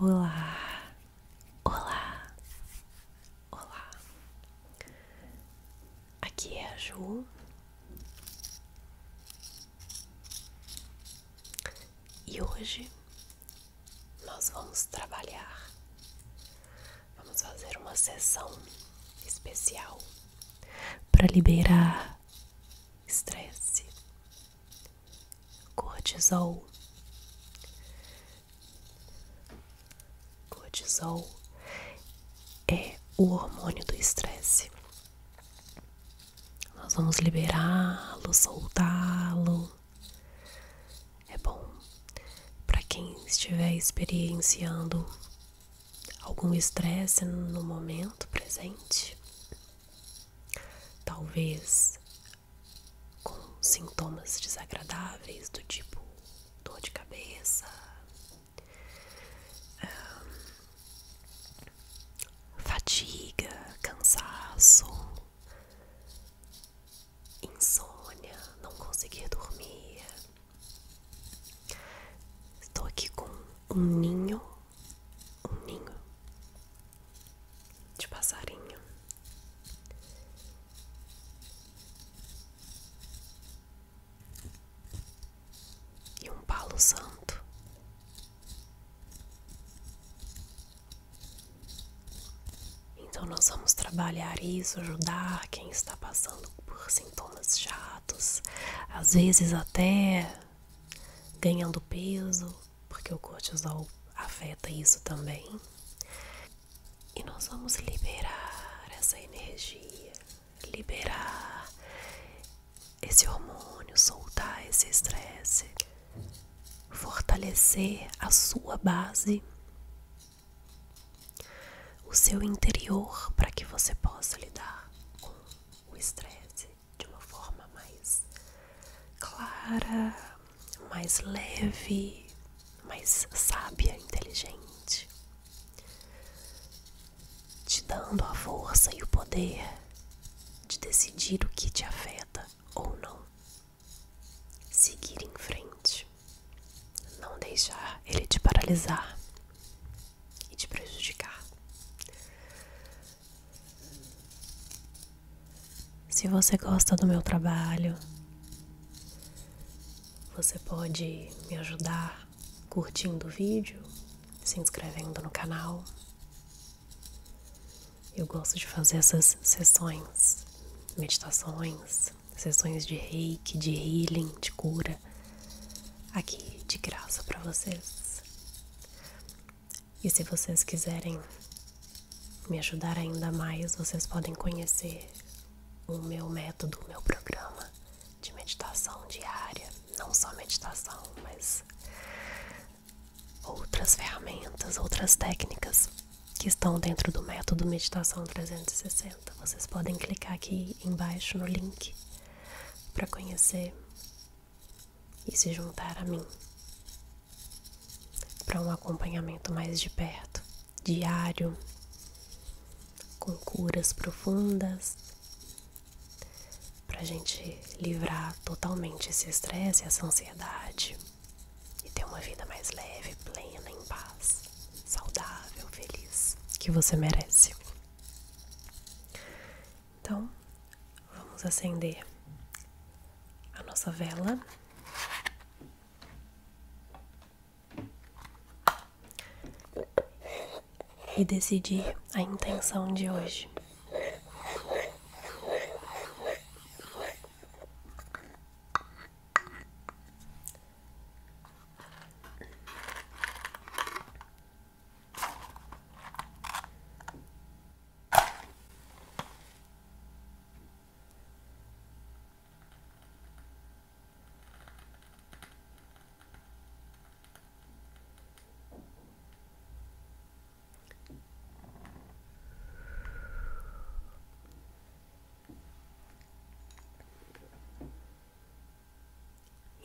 Olá, olá, olá. Aqui é a Ju e hoje nós vamos trabalhar. Vamos fazer uma sessão especial para liberar estresse, Cortisol. Cortisol é o hormônio do estresse. Nós vamos liberá-lo, soltá-lo. É bom para quem estiver experienciando algum estresse no momento presente, Talvez com sintomas desagradáveis do tipo dor de cabeça, um, fatiga, cansaço, insônia, não conseguir dormir. Estou aqui com um ninho um ninho de passarinho. E um palo santo. Então, nós vamos trabalhar isso, ajudar quem está passando por sintomas chatos, às vezes até ganhando peso, porque o cortisol afeta isso também. E nós vamos liberar essa energia, liberar esse hormônio, soltar esse estresse, fortalecer a sua base, o seu interior, para que você possa lidar com o estresse de uma forma mais clara, mais leve, mais sábia, inteligente, te dando a força e o poder de decidir o que te afeta ou não. Seguir em frente, não deixar ele te paralisar e te prejudicar. Se você gosta do meu trabalho, você pode me ajudar curtindo o vídeo, se inscrevendo no canal. Eu gosto de fazer essas sessões, meditações, sessões de reiki, de healing, de cura, aqui de graça para vocês. E se vocês quiserem me ajudar ainda mais, vocês podem conhecer o meu método, o meu programa de meditação diária. Não só meditação, mas outras ferramentas, outras técnicas que estão dentro do método Meditação 360. Vocês podem clicar aqui embaixo no link para conhecer e se juntar a mim para um acompanhamento mais de perto, diário, com curas profundas, para a gente livrar totalmente esse estresse, essa ansiedade e ter uma vida mais leve, plena, em paz, saudável, feliz, que você merece. Então, vamos acender a nossa vela. E decidir a intenção de hoje.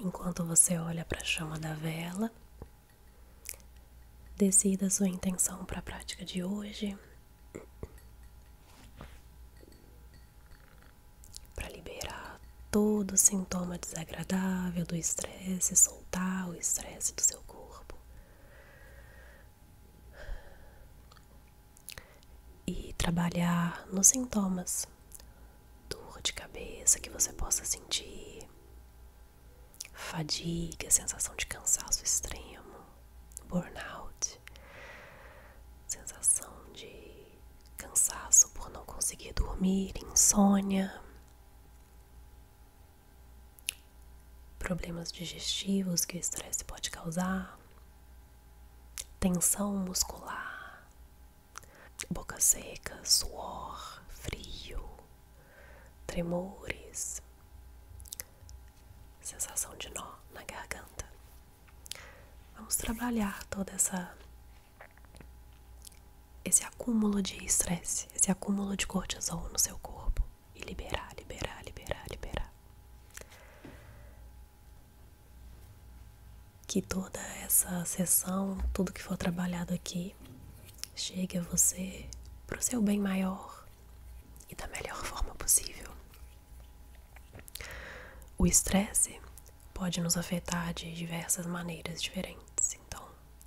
Enquanto você olha para a chama da vela, Decida sua intenção para a prática de hoje. Para liberar todo sintoma desagradável do estresse, soltar o estresse do seu corpo. E trabalhar nos sintomas, dor de cabeça que você possa sentir, fadiga, sensação de cansaço extremo, burnout, sensação de cansaço por não conseguir dormir, insônia, problemas digestivos que o estresse pode causar, tensão muscular, boca seca, suor, frio, tremores, sensação de nó na garganta. Vamos trabalhar toda essa esse acúmulo de estresse, esse acúmulo de cortisol no seu corpo e liberar, liberar, liberar, liberar. Que toda essa sessão, tudo que for trabalhado aqui, chegue a você para o seu bem maior e da melhor forma possível. O estresse pode nos afetar de diversas maneiras diferentes, então,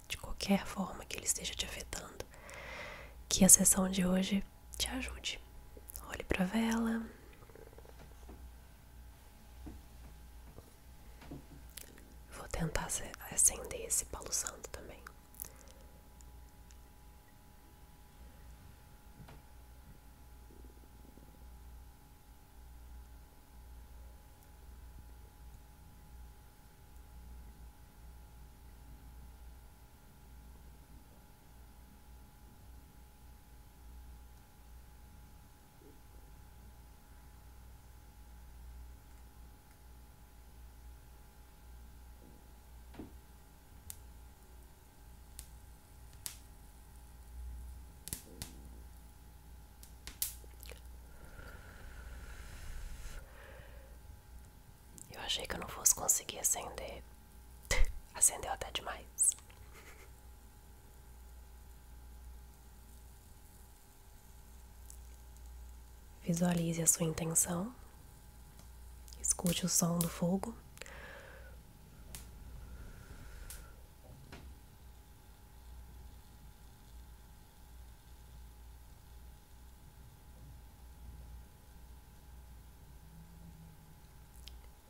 de qualquer forma que ele esteja te afetando, que a sessão de hoje te ajude. Olhe para a vela. Vou tentar acender esse Palo Santo também. Eu achei que eu não fosse conseguir acender. Acendeu até demais. Visualize a sua intenção, escute o som do fogo.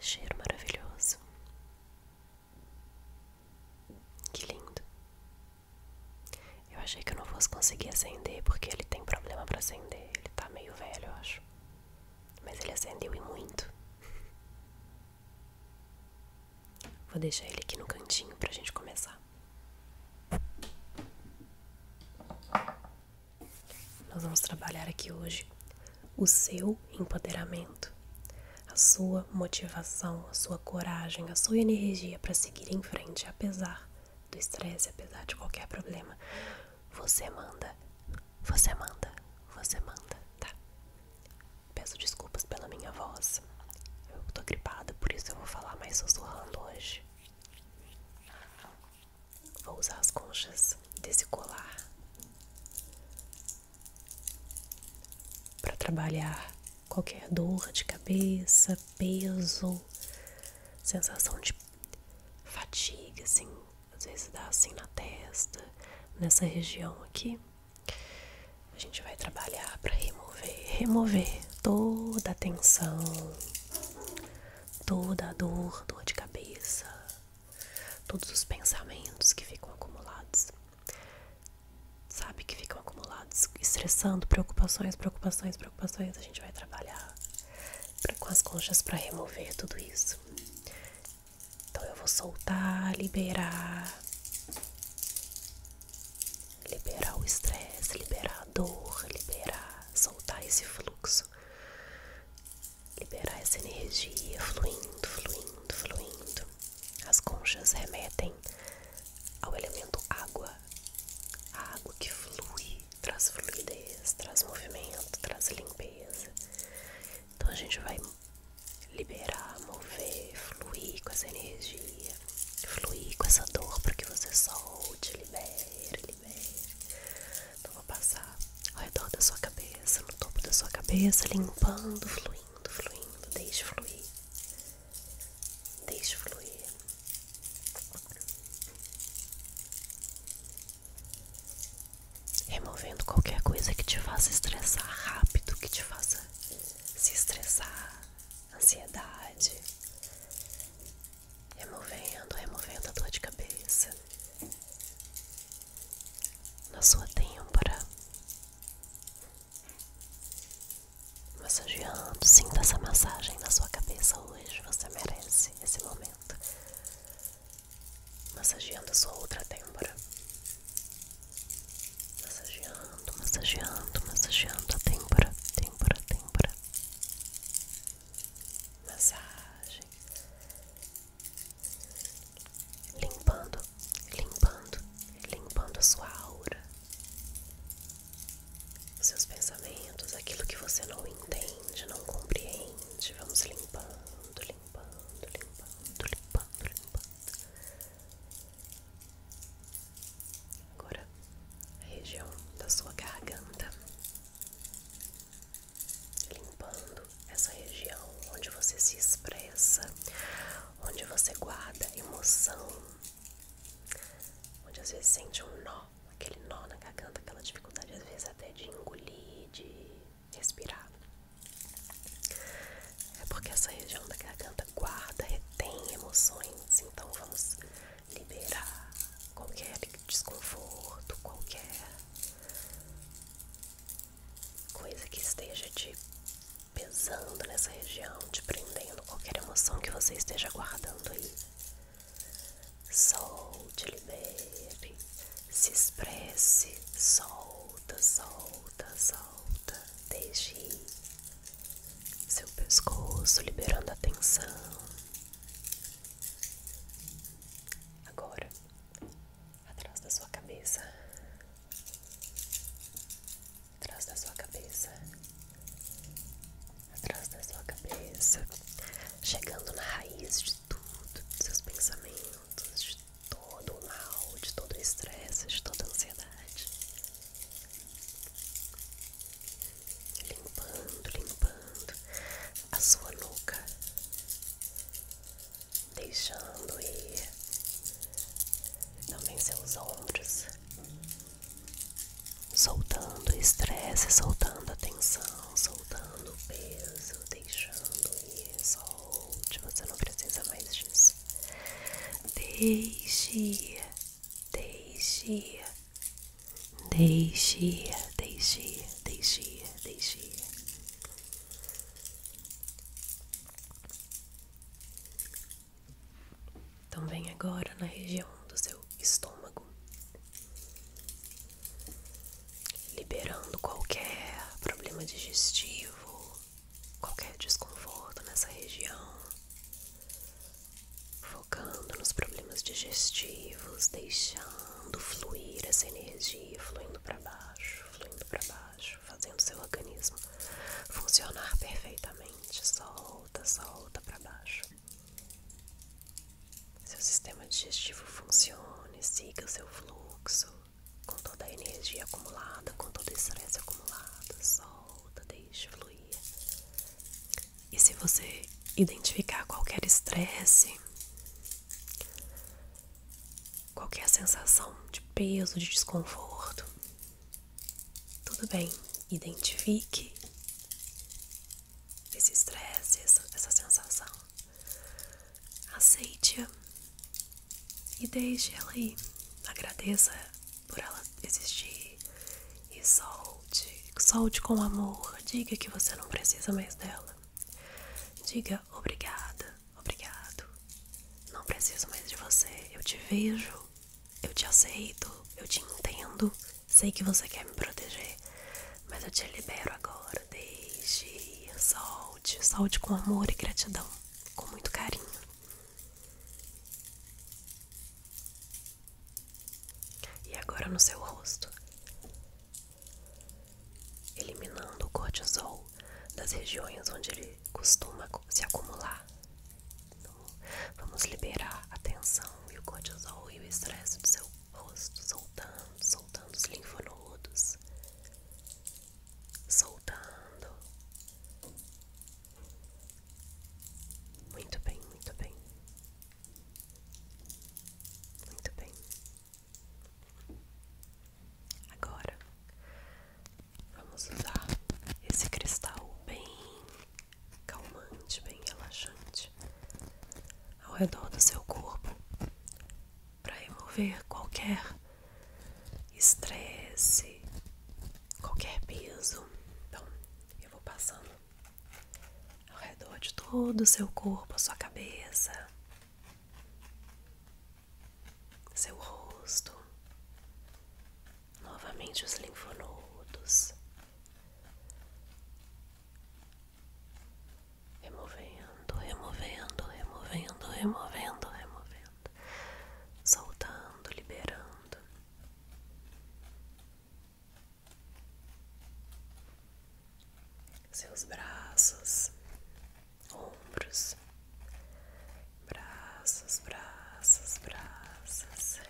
Cheiro maravilhoso. Que lindo. Eu achei que eu não fosse conseguir acender porque ele tem problema para acender. Ele está meio velho, eu acho. Mas ele acendeu e muito. Vou deixar ele aqui no cantinho para a gente começar. Nós vamos trabalhar aqui hoje o seu empoderamento a sua motivação, a sua coragem, a sua energia para seguir em frente, apesar do estresse, apesar de qualquer problema. Você manda, você manda, você manda, tá? Peço desculpas pela minha voz. Eu tô gripada, por isso eu vou falar mais sussurrando hoje. Vou usar as conchas desse colar para trabalhar qualquer dor de cabeça, peso, sensação de fatiga, assim, às vezes dá assim na testa, nessa região aqui. A gente vai trabalhar para remover, remover toda a tensão, toda a dor, dor de cabeça, todos os pensamentos que ficam acumulados sabe, que ficam acumulados, estressando, preocupações, preocupações, preocupações. A gente vai trabalhar com as conchas para remover tudo isso. Então eu vou soltar, liberar, liberar o estresse, liberar a dor, liberar, soltar esse fluxo, liberar essa energia fluindo, fluindo, fluindo. As conchas remetem ao elemento água, água que flui, traz fluidez, traz movimento, traz limpeza. Então a gente vai liberar, mover, fluir com essa energia, fluir com essa dor para que você solte, libere, libere. Então vou passar ao redor da sua cabeça, no topo da sua cabeça, limpando, fluindo fluindo, fluindo, deixe fluir, deixe fluir. Removendo qualquer coisa que te faça estressar rápido, que te faça se estressar, ansiedade. Removendo, removendo a dor de cabeça. Na sua têmpora, Massageando, sinta essa massagem na sua cabeça hoje. Você merece esse momento. Massageando a sua outra têmpora. Massageando, massageando, massageando a têmpora, têmpora, têmpora. Massagem limpando, limpando, limpando a sua aura, os seus pensamentos, aquilo que você não entende, não compreende. Vamos limpando, limpando, limpando, limpando, limpando. Agora a região da sua garganta. Limpando essa região onde você se expressa, onde você guarda emoção, onde às vezes sente um nó, aquele nó na garganta, aquela dificuldade às vezes até de engolir, de respirar. É porque essa região da garganta guarda, retém emoções, então vamos liberar qualquer desconforto, qualquer coisa que esteja te pesando nessa região, te prendendo, qualquer emoção que você esteja guardando aí. Solte, libere, se expresse, solta, solta, solta, deixe seu pescoço, liberando a tensão. Agora, atrás da sua cabeça, atrás da sua cabeça, atrás da sua cabeça, chegando na raiz de tudo, dos seus pensamentos, de todo o mal, de todo o estresse, de toda a ansiedade. Limpando, limpando a sua nuca, deixando ir também seus ombros, soltando o estresse, soltando a tensão, soltando o peso, deixando ir, solte, você não precisa mais disso. Deixe deixe deixe deixe deixe deixe também então agora na região do seu estômago, liberando qualquer problema digestivo, qualquer desconforto nessa região, focando nos problemas digestivos, deixando fluir essa energia, fluindo para baixo, fluindo para baixo fazendo seu organismo funcionar perfeitamente. Solta, solta para baixo. Seu sistema digestivo funcione, siga seu fluxo com toda a energia acumulada, com todo o estresse acumulado. Solta, deixe fluir. E se você identificar qualquer estresse, qualquer é sensação de peso, de desconforto. Tudo bem, identifique esse estresse, essa, sensação. Aceite-a e deixe ela aí. Agradeça por ela existir e solte, solte com amor. Diga que você não precisa mais dela. Diga obrigada Obrigado. Não preciso mais de você. Eu te vejo. Eu te aceito. Eu te entendo. Sei que você quer me proteger. Mas eu te libero agora. Deixe. Solte. Solte com amor e gratidão. Com muito carinho. E agora no seu rosto eliminando o cortisol das regiões onde ele costuma se acumular. Então, vamos liberar a tensão e o cortisol e o estresse do seu rosto, soltando, soltando os linfonodos, soltando. Muito bem, muito bem. Muito bem. Agora vamos usar esse cristal bem calmante, bem relaxante ao redor do seu corpo para remover qualquer estresse, qualquer peso. Então, eu vou passando ao redor de todo o seu corpo, a sua cabeça seu rosto, novamente os linfonodos, removendo, removendo, removendo, removendo, removendo, soltando, liberando. Seus braços, ombros, braços, braços, braços,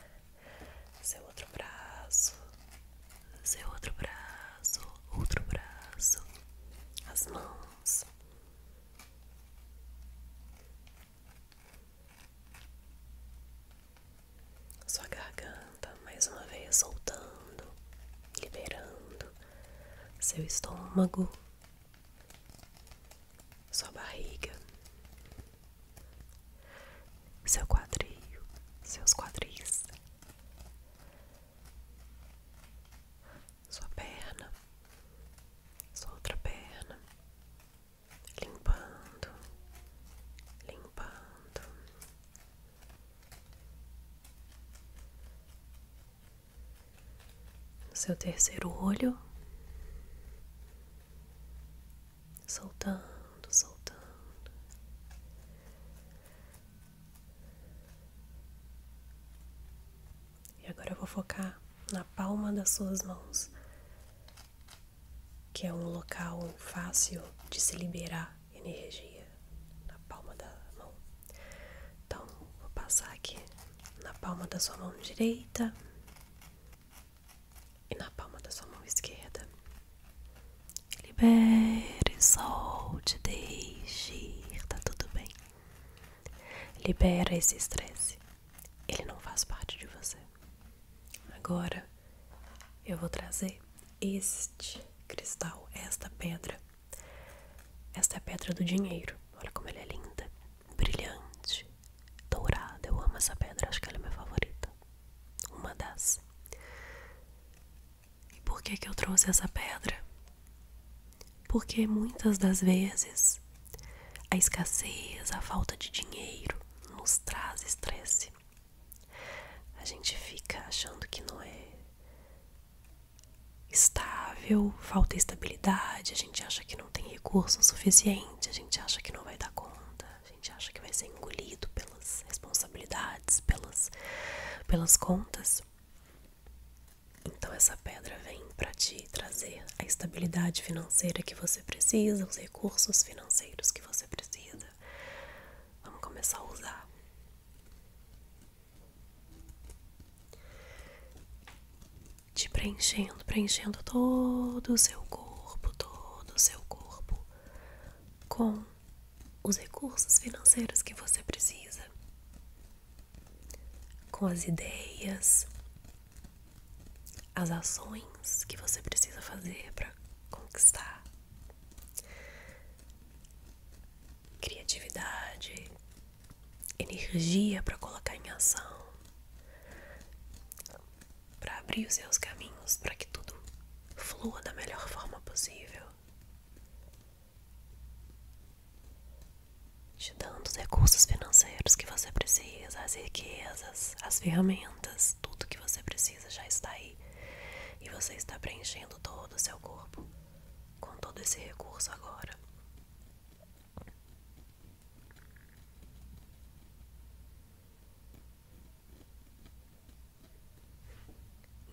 seu outro braço, seu outro braço, outro braço, as mãos. Sua garganta mais uma vez soltando, liberando seu estômago, sua barriga, seu quadril, seus quadris, sua perna, sua outra perna, limpando, limpando seu terceiro olho, soltando, soltando. E agora eu vou focar na palma das suas mãos, que é um local fácil de se liberar energia na palma da mão. Então, vou passar aqui na palma da sua mão direita e na palma da sua mão esquerda. Libere, solte, deixe tá tudo bem. Libera esse estresse. Ele não faz parte de você. Agora eu vou trazer este cristal, esta pedra esta é a pedra do dinheiro. Olha como ela é linda, brilhante, dourada. Eu amo essa pedra, acho que ela é minha favorita. Uma das. E por que, que eu trouxe essa pedra? Porque muitas das vezes a escassez, a falta de dinheiro nos traz estresse. A gente fica achando que não é estável, falta estabilidade, a gente acha que não tem recurso suficiente, a gente acha que não vai dar conta, a gente acha que vai ser engolido pelas responsabilidades, pelas, pelas contas. Então essa pedra vem para te trazer a estabilidade financeira que você precisa, os recursos financeiros que você precisa. Vamos começar a usar. Te preenchendo, preenchendo todo o seu corpo, todo o seu corpo com os recursos financeiros que você precisa, com as ideias, as ações que você precisa fazer para conquistar criatividade, energia para colocar em ação, para abrir os seus caminhos para que tudo flua da melhor forma possível, te dando os recursos financeiros que você precisa, as riquezas, as ferramentas, tudo que você precisa já está aí e você está preenchendo todo o seu corpo com todo esse recurso agora.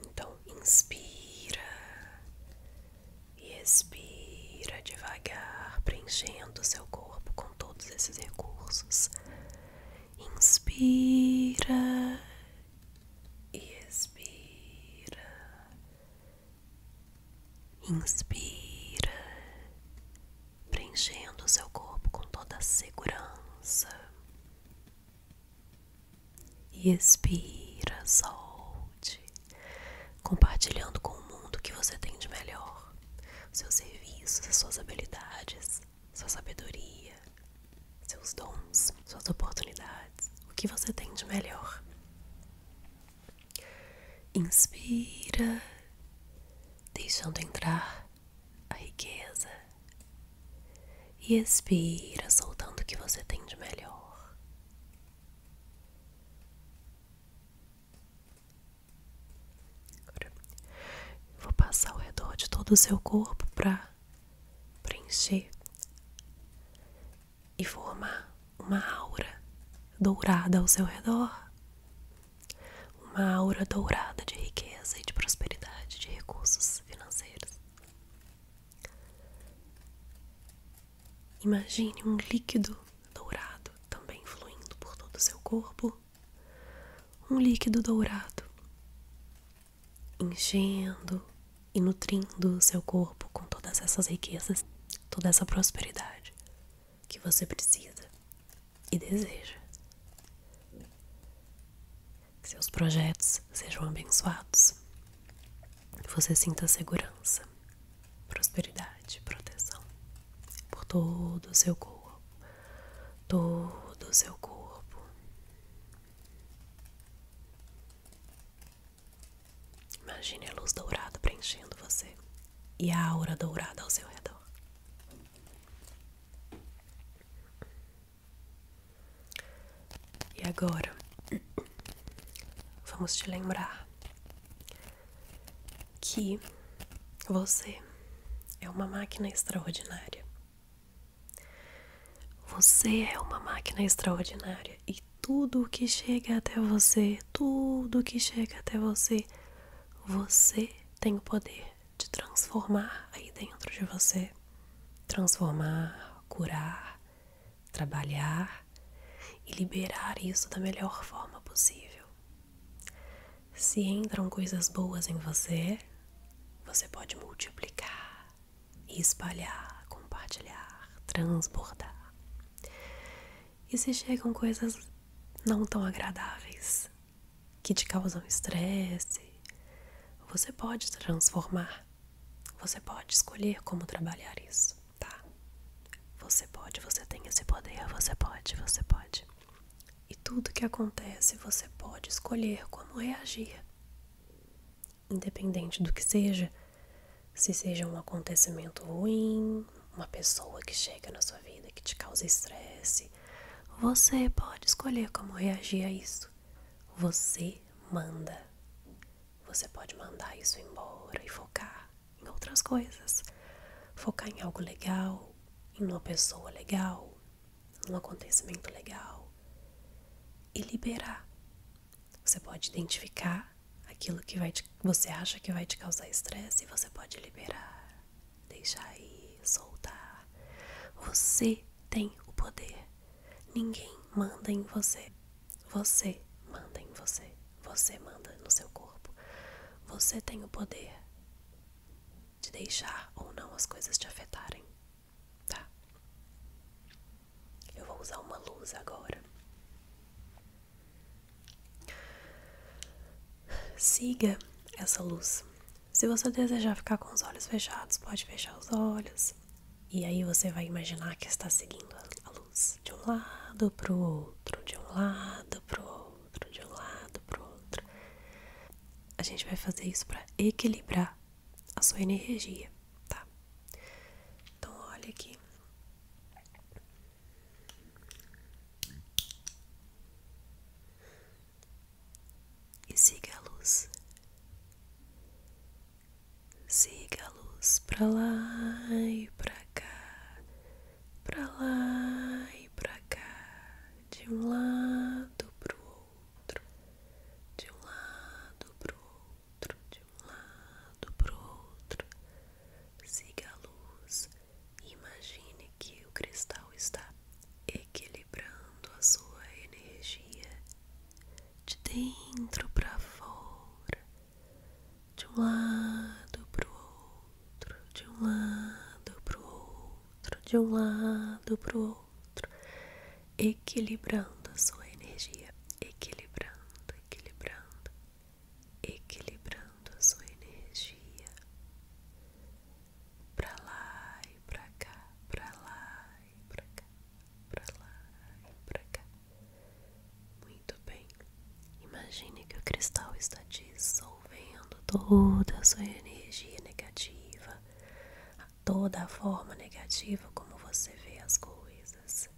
Então, inspira e expira devagar, preenchendo seu corpo com todos esses recursos. Inspira e expira, inspira, preenchendo o seu corpo com toda a segurança, e expira, solte, compartilhando com o mundo o que você tem de melhor, seus serviços, suas habilidades, sua sabedoria, seus dons, suas oportunidades, o que você tem de melhor. Inspira, deixando entrar a riqueza. E expira, soltando o que você tem de melhor. Agora, vou passar ao redor de todo o seu corpo para preencher e formar uma aura dourada ao seu redor uma aura dourada de riqueza e de prosperidade, de recursos financeiros. Imagine um líquido dourado também fluindo por todo o seu corpo. Um líquido dourado enchendo e nutrindo o seu corpo com todas essas riquezas, toda essa prosperidade que você precisa e deseja. Que seus projetos sejam abençoados. você sinta segurança, prosperidade, proteção por todo o seu corpo, todo o seu corpo, Imagine a luz dourada preenchendo você e a aura dourada ao seu redor. E agora, vamos te lembrar que você é uma máquina extraordinária você é uma máquina extraordinária e tudo que chega até você, tudo que chega até você, você tem o poder de transformar aí dentro de você. Transformar, curar, trabalhar e liberar isso da melhor forma possível. Se entram coisas boas em você, você pode multiplicar, espalhar, compartilhar, transbordar. E se chegam coisas não tão agradáveis, que te causam estresse, você pode transformar. Você pode escolher como trabalhar isso, tá? Você pode, você tem esse poder, você pode, você pode. E tudo que acontece, você pode escolher como reagir independente do que seja, se seja um acontecimento ruim, uma pessoa que chega na sua vida que te causa estresse, você pode escolher como reagir a isso. Você manda. Você pode mandar isso embora e focar em outras coisas. Focar em algo legal, em uma pessoa legal, um acontecimento legal e liberar. Você pode identificar aquilo que vai você acha que vai te causar estresse e você pode liberar, deixar ir, soltar. Você tem o poder. Ninguém manda em você. Você manda em você. Você manda no seu corpo. Você tem o poder de deixar ou não as coisas te afetarem tá? Eu vou usar uma luz agora. Siga essa luz. Se você desejar ficar com os olhos fechados, pode fechar os olhos. E aí você vai imaginar que está seguindo a luz de um lado pro outro, de um lado pro outro, de um lado pro outro. A gente vai fazer isso para equilibrar a sua energia, tá? Então, olha aqui. E siga a luz. Siga a luz pra lá e pra cá, pra lá e pra cá, de um lado pro de um lado para o outro, de um lado para o outro. Siga a luz e imagine que o cristal está equilibrando a sua energia de dentro para fora, de um lado para o outro, de um lado para o outro, de um lado para o outro equilibrando a sua energia, equilibrando, equilibrando, equilibrando a sua energia para lá e para cá, para lá e para cá, para lá e para cá. Muito bem. Imagine que o cristal está dissolvendo toda a sua energia negativa, toda a forma negativa como você vê as coisas,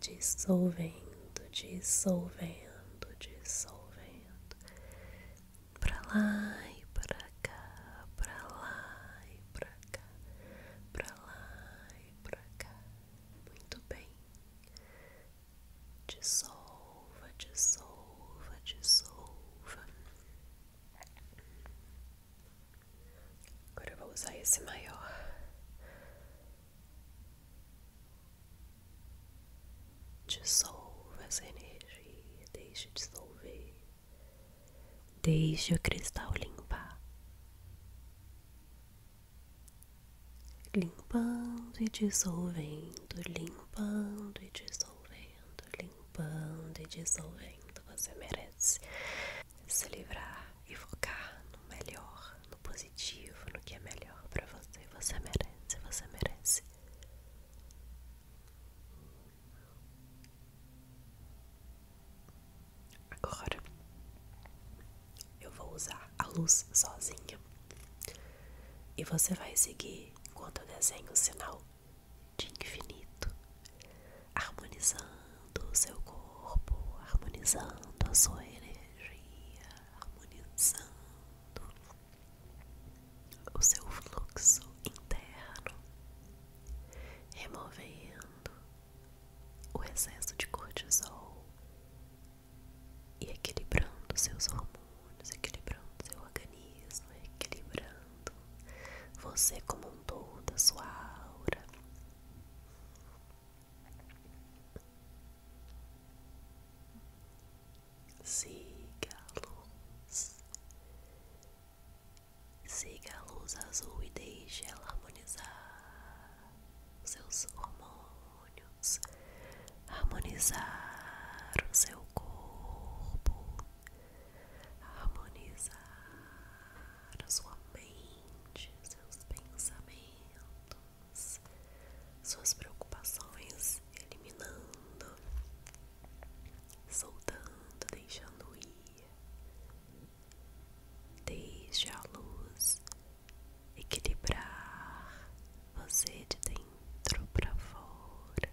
dissolvendo, dissolvendo, dissolvendo, para lá e para cá, para lá e para cá, para lá e para cá. Muito bem. Dissolva, dissolva, dissolva. Agora eu vou usar esse maior. Dissolva essa energia, deixe dissolver. Deixe o cristal limpar. Limpando e dissolvendo, limpando e dissolvendo limpando e dissolvendo. Você merece se livrar e focar no melhor, no positivo, no que é melhor para você. Você merece, você merece. Agora eu vou usar a luz sozinha. E você vai seguir enquanto eu desenho o sinal de infinito, harmonizando o seu corpo, harmonizando a sua energia, harmonizando o seu fluxo interno, removendo o excesso de cortisol e equilibrando seus hormônios, equilibrando seu organismo, equilibrando você como um todo, a sua aura. Siga a luz, siga a luz azul e deixe ela harmonizar seus hormônios, harmonizar o seu corpo, harmonizar sua mente, seus pensamentos, suas preocupações, eliminando, soltando, deixando ir. Deixe a luz equilibrar você de dentro para fora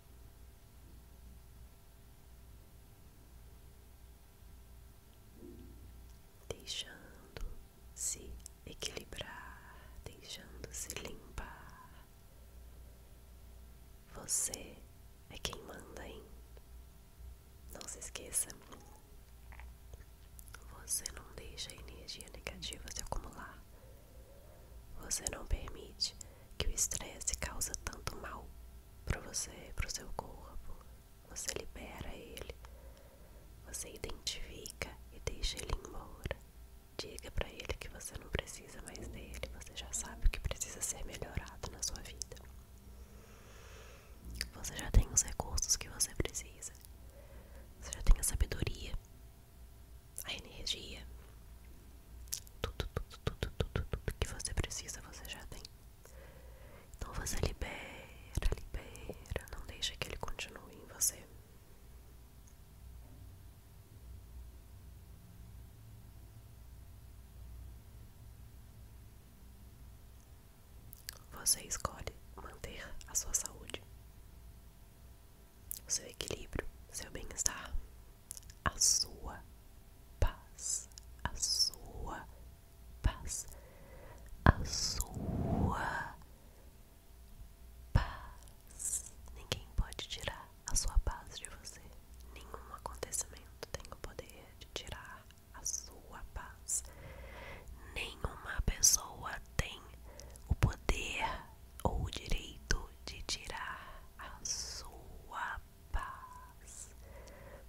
deixando-se equilibrar, deixando-se limpar. Você é quem manda, hein? Não se esqueça. Você não deixa a energia negativa se acumular. Você não permite que o estresse causa tanto mal para você, para o seu corpo. Você libera ele, você identifica e deixa ele embora. Diga para ele que você não precisa mais dele, você já sabe o que precisa ser melhorado na sua vida. Você já tem os recursos que você precisa. Você já tem a sabedoria a energia, tudo, tudo, tudo, tudo, tudo que você precisa você já tem. Então você libera, libera, não deixa que ele continue em você. Você escolhe manter a sua saúde, o seu equilíbrio, seu bem-estar, a sua paz, a sua paz, a sua paz. Ninguém pode tirar a sua paz de você. Nenhum acontecimento tem o poder de tirar a sua paz. Nenhuma pessoa tem o poder ou o direito de tirar a sua paz.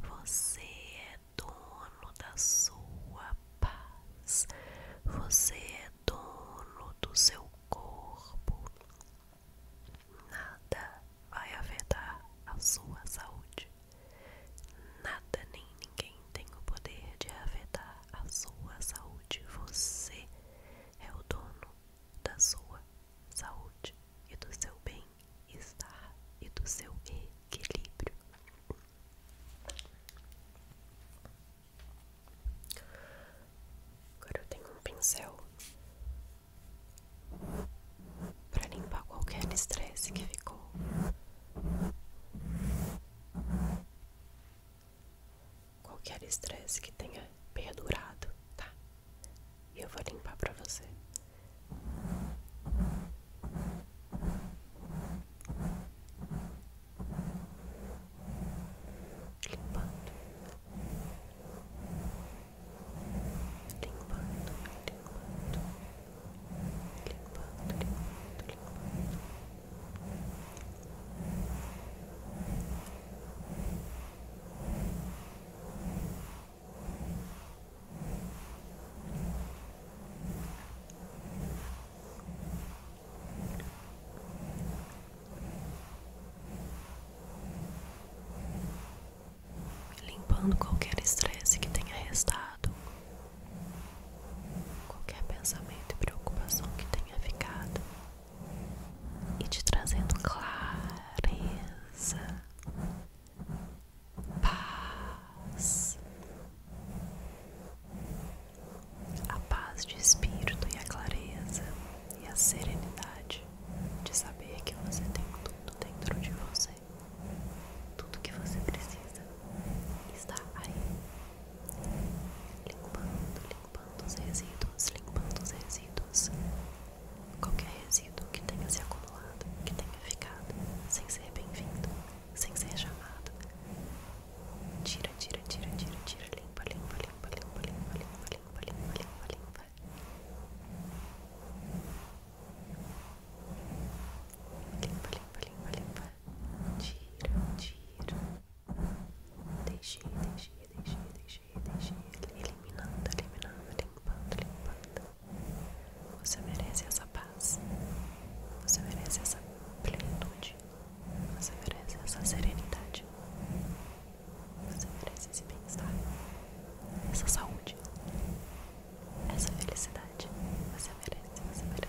Você é dono da sua paz. Você é dono do seu corpo. Nada vai afetar a sua saúde. Nada nem ninguém tem o poder de afetar a sua saúde. Você é o dono da sua saúde e do seu bem-estar e do seu equilíbrio. Agora eu tenho um pincel para limpar qualquer estresse que ficou qualquer estresse que tenha perdurado, tá? E eu vou limpar pra você. Limpando, limpando, limpando, limpando, limpando, limpando. Limpando qualquer estresse que tenha restado, qualquer pensamento e preocupação que tenha ficado e te trazendo clareza, paz, a paz de espírito e a clareza e a serenidade de saber que você tem tudo dentro de você, tudo que você precisa está aí limpando, limpando os resíduos, limpando os resíduos. Qualquer resíduo que tenha se acumulado, que tenha ficado sem ser bem-vindo, sem ser chamado. Tira, tira, tira, tira, tira, limpa, limpa, limpa, limpa, limpa, limpa, limpa, limpa, limpa, limpa. Limpa, limpa, limpa, limpa. Tira, tira. Deixei, deixei, deixei, deixei, deixei. Eliminando, eliminando, limpando, limpando. Você merece essa paz. Você merece essa plenitude. Você merece essa serenidade. Você merece esse bem-estar. Essa saúde. Essa felicidade. Você merece, você merece.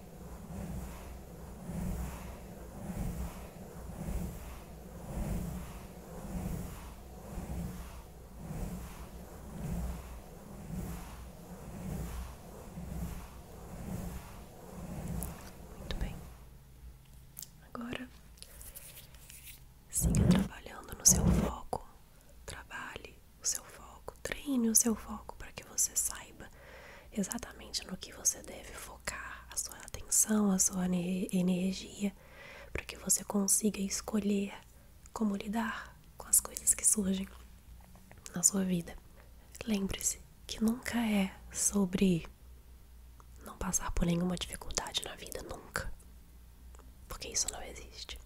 Muito bem. Agora siga trabalhando no seu foco. Trabalhe o seu foco, treine o seu foco para que você saiba exatamente no que você deve focar a sua atenção, a sua energia, para que você consiga escolher como lidar com as coisas que surgem na sua vida. Lembre-se que nunca é sobre não passar por nenhuma dificuldade na vida, nunca. Porque isso não existe.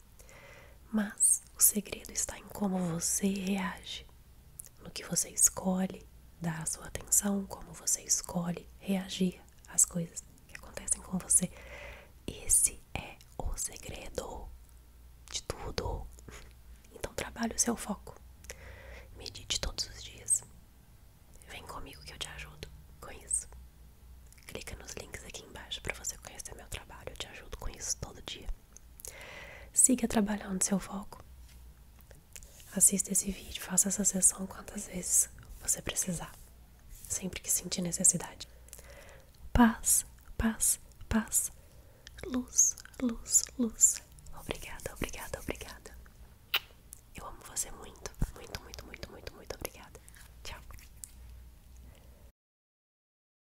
Mas o segredo está em como você reage, no que você escolhe dar a sua atenção, como você escolhe reagir às coisas que acontecem com você. Esse é o segredo de tudo. Então trabalhe o seu foco. Medite todos os dias. Vem comigo que eu te ajudo com isso. Clica nos links aqui embaixo para você conhecer meu trabalho. Eu te ajudo com isso todo dia. Siga trabalhando seu foco. Assista esse vídeo, faça essa sessão quantas vezes você precisar, sempre que sentir necessidade. Paz, paz, paz. Luz, luz, luz. Obrigada, obrigada, obrigada. Eu amo você muito, muito, muito, muito, muito, muito obrigada. Tchau.